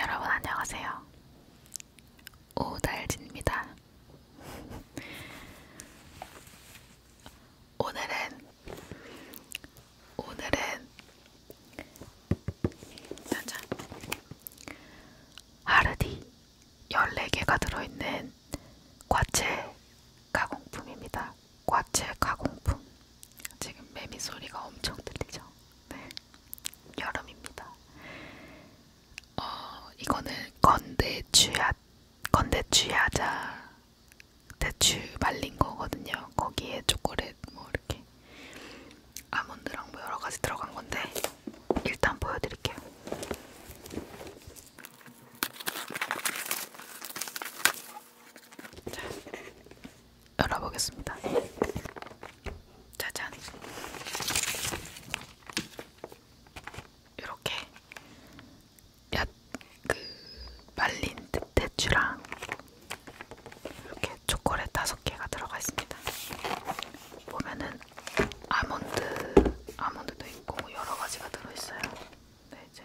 여러분 안녕하세요. 오달진입니다. 오늘은 오늘은 짜잔 하르디 14개가 들어있는 과채 가공품입니다. 과채 가공품 지금 매미 소리가 엄청 들리죠? 네. 여름입니다. 어, 이거는 건대 주야, 건대 주야자 대추 말린 거거든요. 거기에 초콜릿 뭐 이렇게 아몬드랑 뭐 여러 가지 들어간 건데 일단 보여드릴게요. 자, 열어보겠습니다. 짜잔. 이렇게 얏, 그 말린 대추랑 이렇게 초콜릿 다섯 개가 들어가 있습니다. 보면은 아몬드, 아몬드도 있고 뭐 여러 가지가 들어있어요. 네, 이제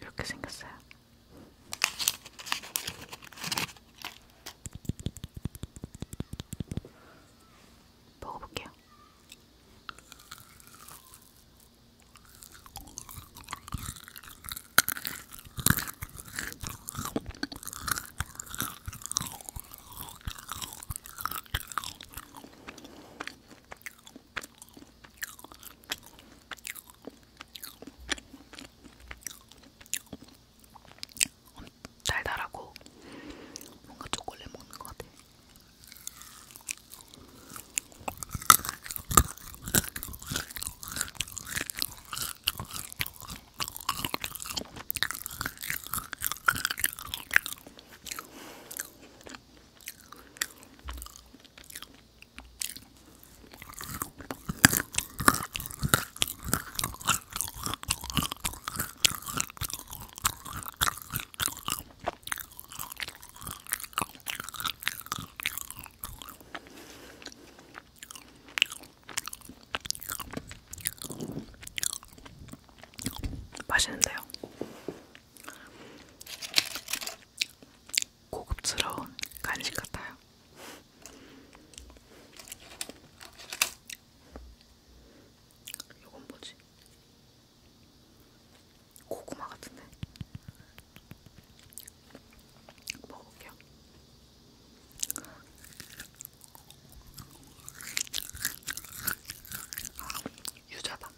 이렇게 생겼어요. 먹어볼게요. 달달하고 뭔가 초콜릿 먹는 것 같아. 맛있는데요. 고급스러운 간식 같아요. 이건 뭐지? 고구마 같은데? 먹어볼게요. 아, 유자다.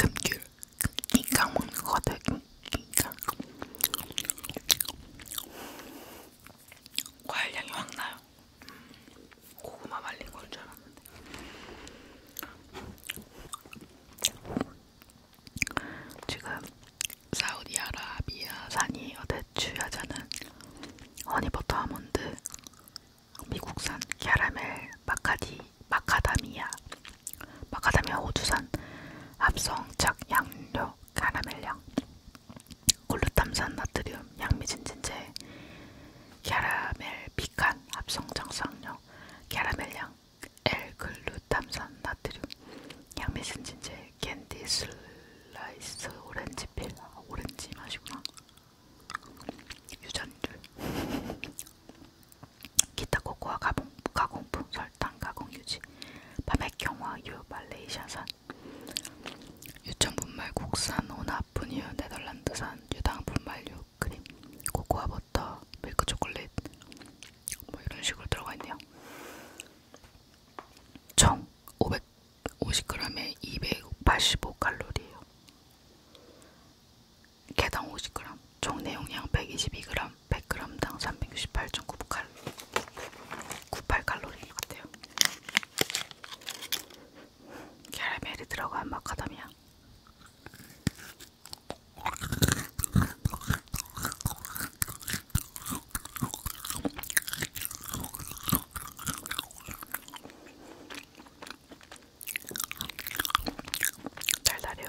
금귤 인강 먹는 거 같아요 인강 과일 향이 확 나요. 음, 고구마 말린 건줄 알았는데. 지금 사우디아라비아 산이에요. 대추야자는 허니버터 아몬드, 미국산 캐러멜 마카디, 마카다미아, 마카다미아 호주산 합성착 양료, 카라멜향, 글루탐산 나트륨, 양미진진제, 캐러멜 피칸 합성정상료, 캐러멜향, L글루탐산 나트륨, 양미진진제, 캔디 슬라이스 오렌지필, 아, 오렌지 맛이구나. 유전율 기타 코코아 가공, 가공품 설탕 가공 유지 밤의 경화 유 말레이시아산 유청 분말 국산 오나 분유 네덜란드산 유당 분말유 크림 코코아 버터 밀크 초콜릿 뭐 이런 식으로 들어가 있네요. 총 550g에 285칼로리예요. 개당 50g, 총 내용량 122g, 100g당 368.9칼 98칼로리인 것 같아요. 캐러멜이 들어간 마카다미아. 달달해요.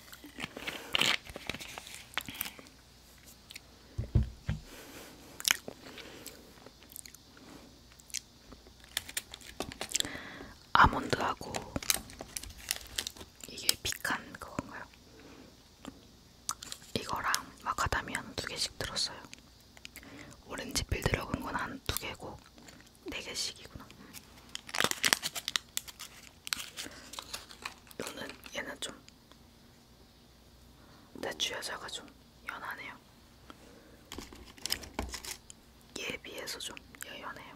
아몬드하고 이게 피칸 그건가요? 이거랑 마카다미아 두 개씩 들었어요. 오렌지 필 들어간 건한 두 개고 네 개씩이구나. 너는 얘는 좀 대추 여자가 좀 연하네요. 얘에 비해서 좀 연해요.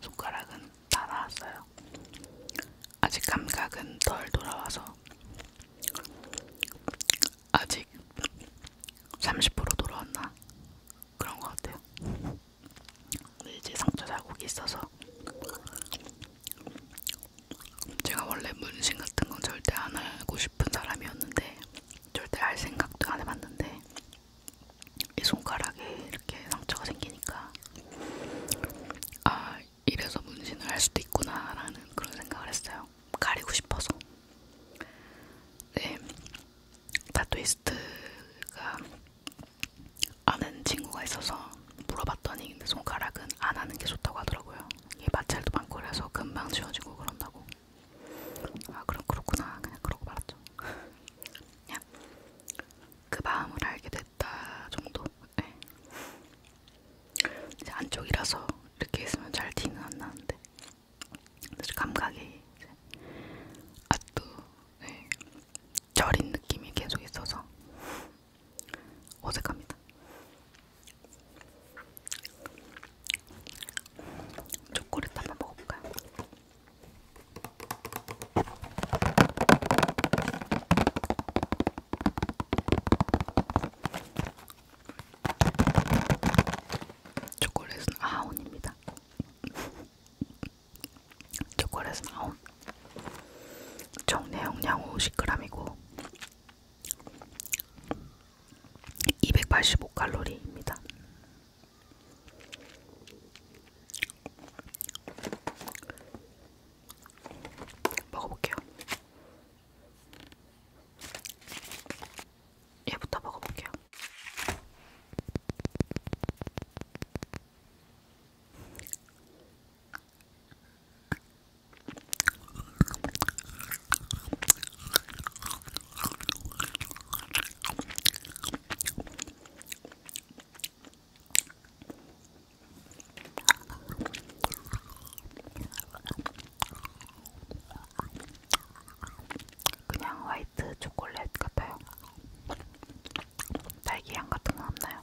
손가락은 다 나왔어요. 아직 감각은 덜 돌아와서 아직 30% 돌아왔나 그런 것 같아요. 근데 이제 상처 자국이 있어서 제가 원래 문신 같은 건 절대 안 하고 싶은 사람이었는데 절대 할 생각도 안 해봤는데 이 손가락에 이렇게 상처가 생기니까 아 이래서 문신을 할 수도 있구나라는 그런 생각을 했어요. 가리고 싶어서. 네, 다토이스트가 아는 친구가 있어서 물어봤더니 근데 손가락은 안 하는 게 좋다고 하더라고요. 이게 마찰도 많고 그래서 금방 지워지고 그런다고. 아 그럼 그렇구나 그냥 그러고 말았죠. 그냥 그 마음을 알게 됐다 정도. 네. 이제 안쪽이라서 이렇게 있으면 잘 티는 안 나는데 감각이 이제 아또 네. 절인 느낌이 계속 있어서 어색합니다. 초콜릿 한번 먹어볼까요? 초콜릿은 아온입니다. 초콜릿은 9 정내용량 50g이고 285칼로리입니다. 먹어볼게요. 얘부터 먹어볼게요. 그냥 화이트 초콜릿 같아요. 딸기향 같은 건 없나요?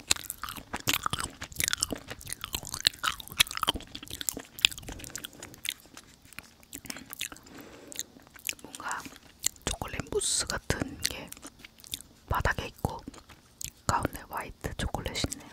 뭔가 초콜릿 무스 같은 게 바닥에 있고 가운데 화이트 초콜릿이 있네요.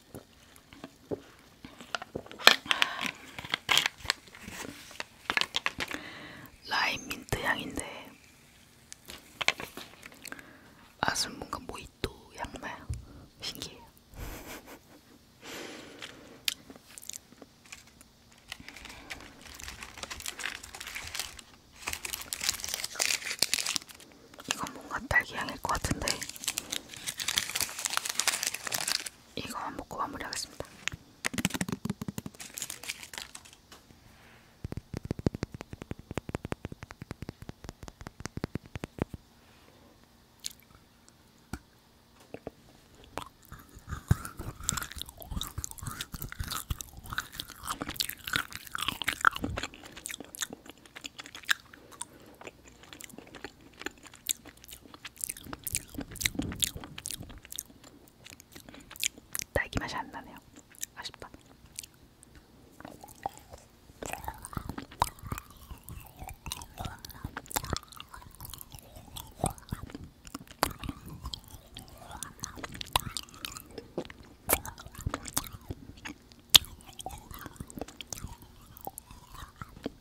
라임 민트 향인데 아슬 뭔가 모히또 향나요. 신기해요. 이건 뭔가 딸기 향일 것 같은데 이거만 먹고 마무리하겠습니다. 딸기 맛이 안 나네요. 아쉽다.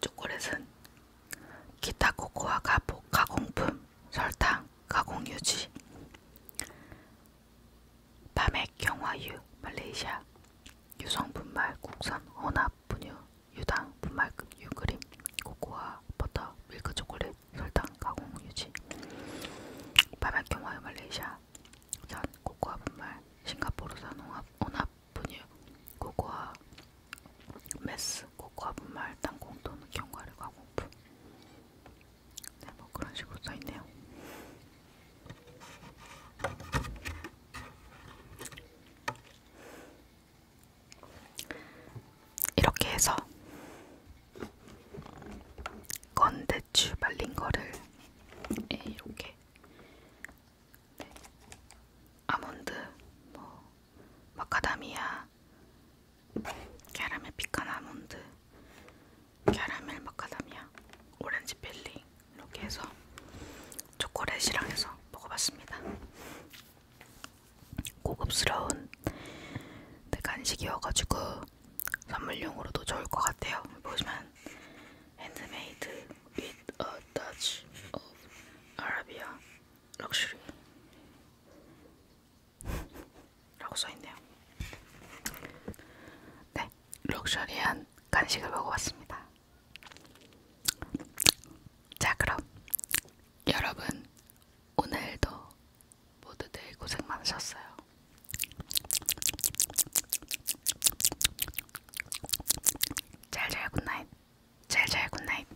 초콜릿은 기타 코코아 가공, 가공품, 설탕, 가공 유지 밤의 경화유 말레이시아 유성 분말 국산 혼합 분유 유당 분말급 유크림 코코아 버터 밀크 초콜릿 설탕 가공 유지 밤의 경화유 말레이시아 전 코코아 분말 싱가포르산 혼합, 혼합 분유 코코아 메스 코코아 분말 땅콩 또는 견과류 가공품 네, 뭐 그런 식으로 써있네요. 이렇게 해서 건 대추 말린 거를 네, 이렇게 네. 아몬드, 뭐 마카다미아, 캐러멜 피칸 아몬드, 캐러멜 마카다미아, 오렌지 필링 이렇게 해서 초콜릿이랑 해서 먹어봤습니다. 고급스러운 간식이어가지고 선물용으로도 좋을 것 같아요. 보시면 핸드메이드 with a touch of Arabia luxury 라고 써있네요. 네, 럭셔리한 간식을 먹어봤습니다. 자, 그럼 여러분 오늘도 모두들 고생 많으셨어요. 잘잘 굿나잇, 잘잘 굿나잇.